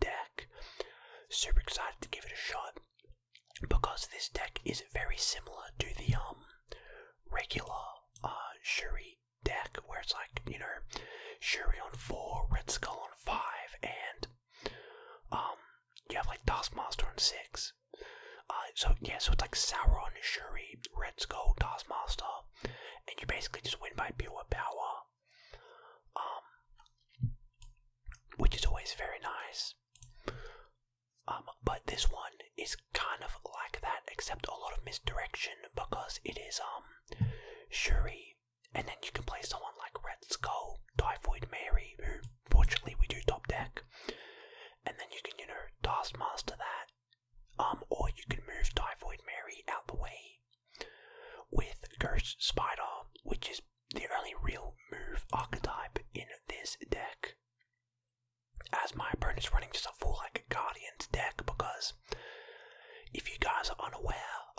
deck. Super excited to give it a shot because this deck is very similar to the um, regular uh, Shuri deck where it's like, you know, Shuri on four, Red Skull on five, and um you have like Master on six. Uh, so yeah, so it's like Sauron, Shuri, Red Skull, Master, and you basically just win by pure power um, which is always very nice. Um, but this one is kind of like that, except a lot of misdirection because it is um Shuri, and then you can play someone like Red Skull, Typhoid Mary, who fortunately we do top deck, and then you can you know task master that, um, or you can move Typhoid Mary out the way with Ghost Spider, which is the only real move archetype in this deck. As my is running just a full like a Guardians deck because if you guys are unaware,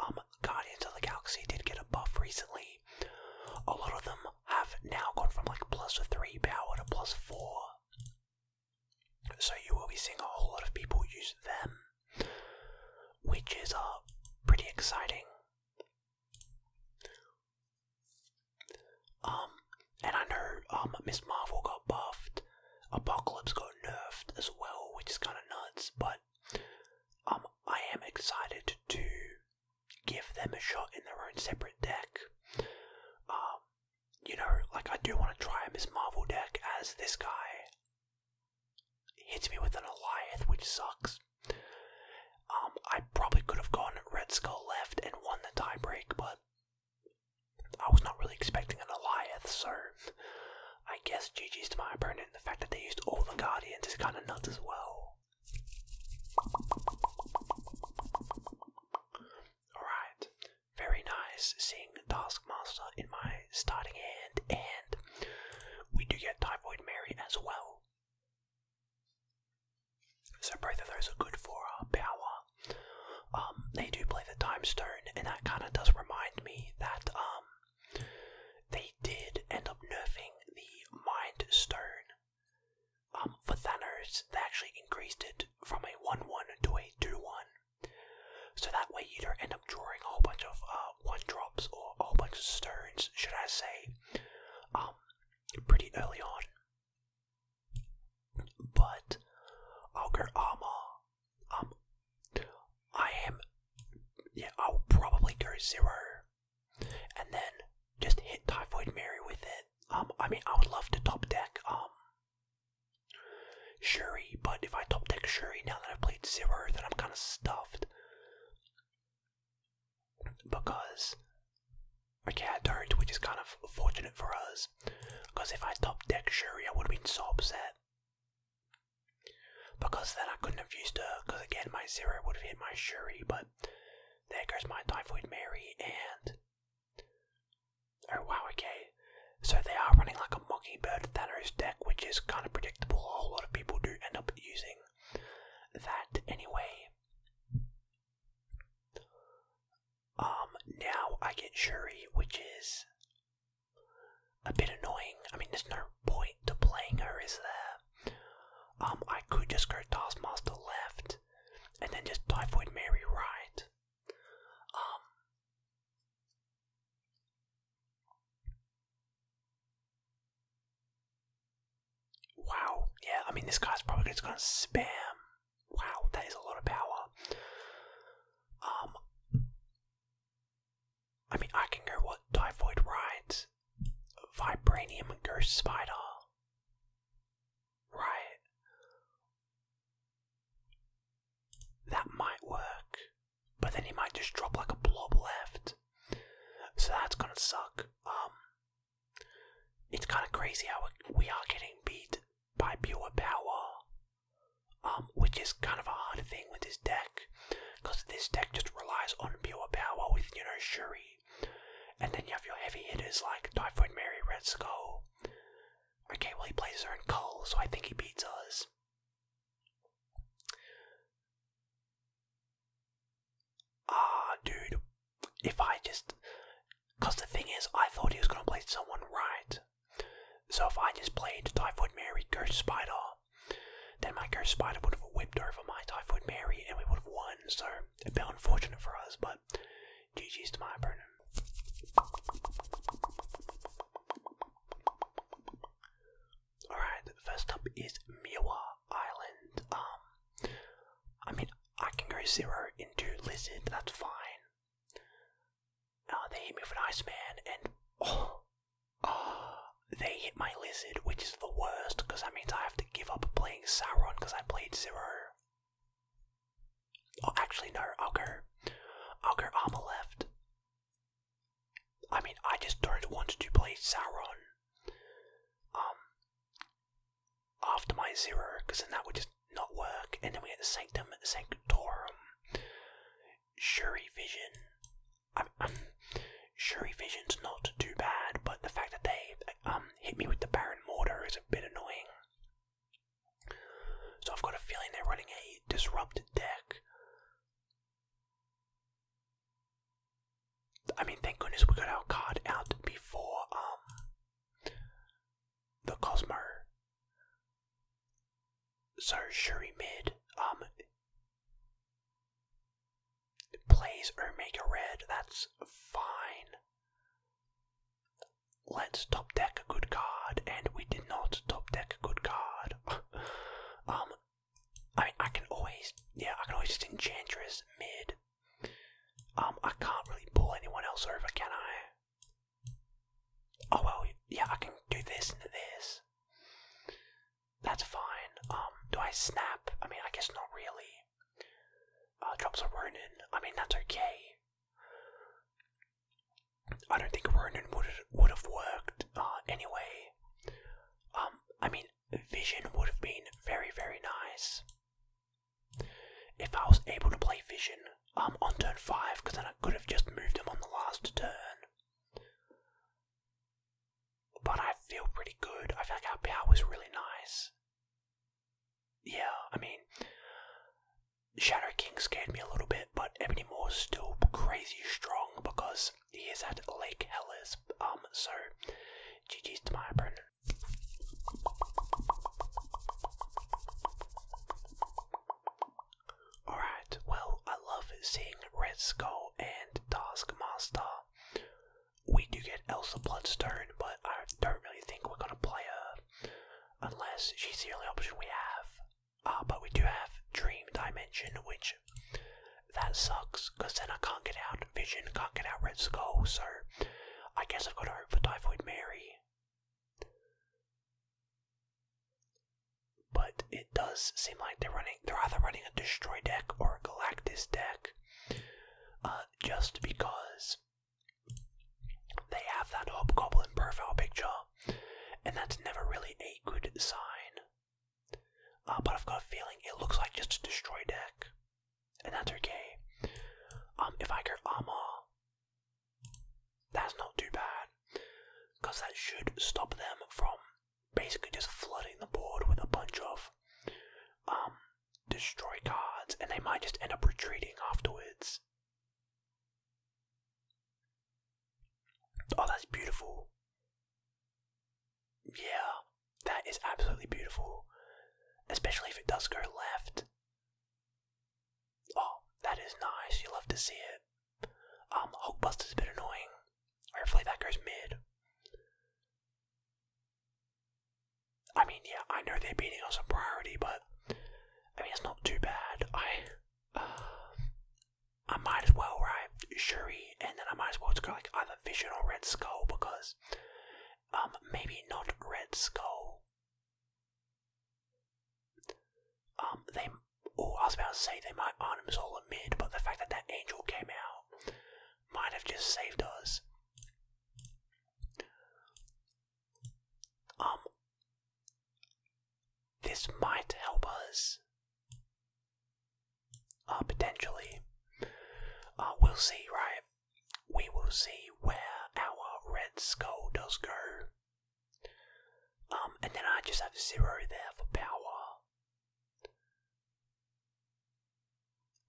um, Guardians of the Galaxy did get a buff recently. A lot of them have now gone from like plus three power to plus four. So you will be seeing a whole lot of people use them which is uh, pretty exciting. Um, and I know um Miss Marvel got buffed, Apocalypse got nerfed as well, which is kind of nuts. But um, I am excited to give them a shot in their own separate deck. Um, you know, like I do want to try a Miss Marvel deck as this guy hits me with an Eliath, which sucks. Um, I probably could have gone Red Skull left and won the tiebreak, but I was not really expecting an Eliath, so I guess GG's to my opponent. The fact that they used all the Guardians is kind of nuts as well. Alright, very nice seeing Dark Taskmaster in my starting hand, and we do get Typhoid Mary as well. So both of those are good for our power. Um, they do play the Time Stone, and that kind of does remind me that um, they did end up nerfing the Mind Stone. Um, for Thanos, they actually increased it from a 1 1 to a 2 1. So that way you don't end up drawing a whole bunch of uh, one drops or a whole bunch of stones, should I say, um, pretty early on. But I'll Um, I am. Yeah, I'll probably go zero, and then just hit Typhoid Mary with it. Um, I mean, I would love to top deck. Um, Shuri, but if I top deck Shuri now that I've played Zero, then I'm kind of stuffed. Because, okay, I don't, which is kind of fortunate for us. Because if I top deck Shuri, I would have been so upset. Because then I couldn't have used her, because again, my Zero would have hit my Shuri, but there goes my Typhoid Mary, and Oh wow, okay. So they are running like a Mockingbird Thanos deck, which is kind of predictable. A whole lot of people do end up using that anyway. Um, now I get Shuri, which is a bit annoying. I mean, there's no point to playing her, is there? Um, I could just go Taskmaster left, and then just Typhoid Mary right. Um, Wow, yeah, I mean, this guy's probably just gonna spam. Wow, that is a lot of power. Um, I mean, I can go what? Typhoid Right, Vibranium Ghost Spider, right? That might work, but then he might just drop like a blob left. So that's gonna suck. Um, it's kind of crazy how we are getting beat by pure power, um, which is kind of a hard thing with this deck, because this deck just relies on pure power with you know Shuri, and then you have your heavy hitters like Typhoid Mary, Red Skull, Okay, well, he plays Zern Cole, so I think he beats us. Ah, dude. If I just. Because the thing is, I thought he was going to play someone right. So if I just played Typhoid Mary, Ghost Spider, then my Ghost Spider would have whipped over my Typhoid Mary and we would have won. So a bit unfortunate for us, but GG's to my opponent. Alright, first up is Miwa Island. Um, I mean, I can go zero into Lizard, that's fine. Uh, they hit me with an Iceman, and oh, uh, they hit my Lizard, which is the worst, because that means I have to give up playing Sauron because I played zero. Oh, actually, no. Augur, Augur, I'll go armor left. I mean, I just don't want to play Sauron. Um. After my zero, because then that would just not work. And then we get the Sanctum, Sanctorum, Shuri Vision. I'm, um, Shuri Vision's not too bad, but the fact that they um hit me with the Baron Mortar is a bit annoying. So I've got a feeling they're running a disrupted deck. I mean, thank goodness we got our card out before um, the Cosmo. So Shuri mid um, plays Omega Red. That's fine let's top deck a good card, and we did not top deck a good card. um, I mean, I can always, yeah, I can always just enchantress mid. Um, I can't really pull anyone else over, can I? Oh well, yeah, I can do this and this. That's fine. Um, do I snap? I mean, I guess not really. Uh, drops a Ronin. I mean, that's okay. I don't think Ronin would would have worked uh, anyway. Um, I mean, Vision would have been very very nice if I was able to play Vision um on turn five, because then I could have just moved him on the last turn. But I feel pretty good. I feel like our power was really nice yeah, I mean, Shadow King scared me a little bit, but Ebony Moore's still crazy strong because he is at Lake Hellas. Um, so GG's to my opponent. Alright, well, I love seeing Red Skull and Taskmaster. We do get Elsa Bloodstone, but I don't really think we're gonna play her unless she's the only option we have. Uh, but we do have Dream Dimension, which that sucks because then I can't get out Vision, can't get out Red Skull, so I guess I've got to hope for Typhoid Mary. But it does seem like they're running, they're either running a Destroy deck or a Galactus deck, uh, just because they have that hobgoblin profile picture, and that's never really a good sign. Uh, but I've got a feeling it looks like just a destroy deck, and that's okay. Um, if I go armor, that's not too bad, because that should stop them from basically just flooding the board with a bunch of um, destroy cards, and they might just end up retreating afterwards. Oh, that's beautiful. Yeah, that is absolutely beautiful. Especially if it does go left. Oh, that is nice. You love to see it. Um, bust is a bit annoying. Hopefully that goes mid. I mean, yeah, I know they're beating us on priority, but I mean, it's not too bad. I, uh, I might as well, right? Shuri, and then I might as well go like either Vision or Red Skull because, um, maybe not Red Skull. Um, they. Oh, I was about to say they might Arnim's all a but the fact that that angel came out might have just saved us. Um, this might help us. Uh, potentially. Uh, we'll see, right? We will see where our red skull does go. Um, and then I just have zero there for power.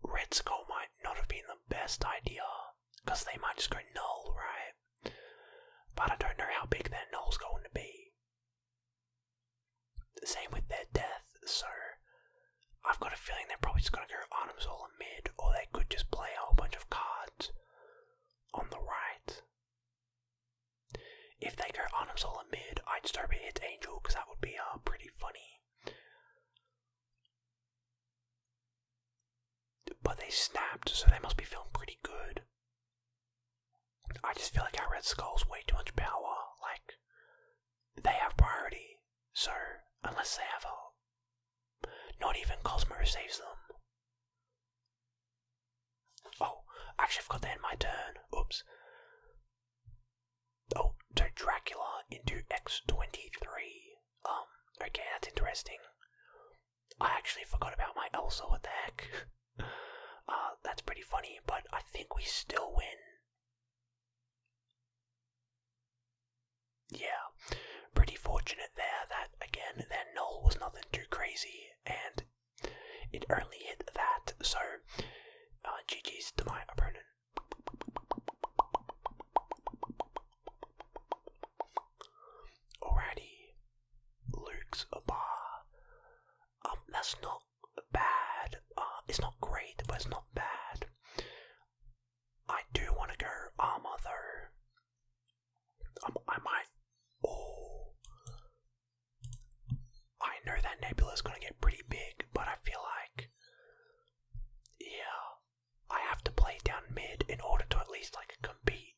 Red goal might not have been the best idea, because they might just go null, right? But I don't know how big their null's going to be. Same with their death, so I've got a feeling they're probably just going to go Artemis all in mid, or they could just play a whole bunch of cards on the right. If they go Artemis all in mid, I'd just hope hit hits Angel, because that would be uh, pretty funny. But they snapped, so they must be feeling pretty good. I just feel like our Red Skull's way too much power. Like, they have priority, so unless they have a. Not even Cosmo saves them. Oh, actually, I forgot to end my turn. Oops. Oh, so Dracula into X23. Um, okay, that's interesting. I actually forgot about my Elsa, what the heck? uh, that's pretty funny, but I think we still win. Yeah, pretty fortunate there that, again, their null was nothing too crazy, and it only hit that, so uh, GG's to my opponent. Alrighty, Luke's uh, a Um, that's not bad. Uh, it's not great, but it's not bad. I do want to go armor though. Um, I might. Oh, I know that nebula's gonna get pretty big, but I feel like, yeah, I have to play down mid in order to at least like compete.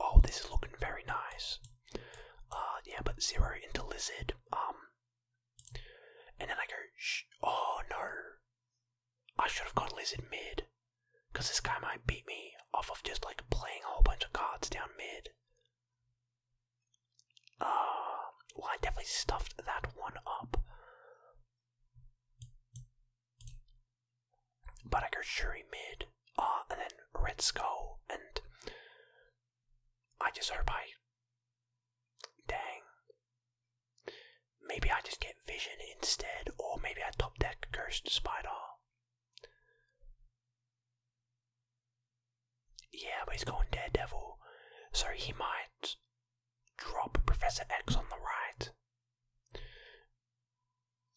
Oh, this is looking very nice. Uh, yeah, but zero into lizard. Um, and then I go, Shh. oh no, I should have got lizard mid, because this guy might beat me off of just like playing a whole bunch of cards down mid. Uh, well, I definitely stuffed that one up. But I Buttiker Shuri mid, Ah, and then Red Skull, and I just hope I. Dang. Maybe I just get Vision instead, or maybe I top deck Ghost Spider. Yeah, but he's going Daredevil, so he might drop Professor X on the right,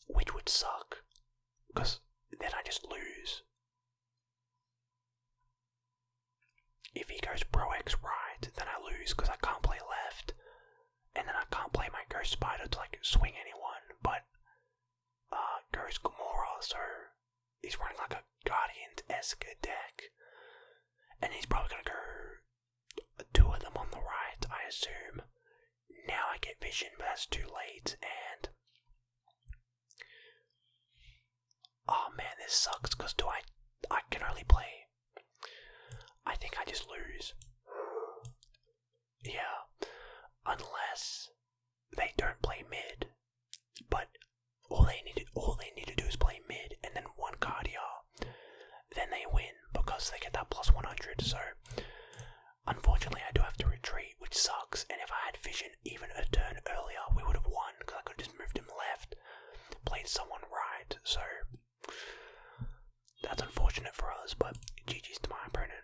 which would suck, because then I just lose. If he goes Pro X right, then I lose because I can't play left, and then I can't play my Ghost Spider to like swing anyone, but uh, Ghost Gamora, so he's running like a Guardians esque deck. And he's probably gonna go two of them on the right, I assume. Now I get vision, but that's too late and Oh man, this sucks because do I I can only play I think I just lose. Yeah. Unless they don't play mid but all they need to, all they need to do is play mid and then one card y'all, Then they win because they get that plus 100. So unfortunately, I do have to retreat, which sucks. And if I had Vision even a turn earlier, we would have won because I could have just moved him left, played someone right. So that's unfortunate for us, but GG's to my opponent.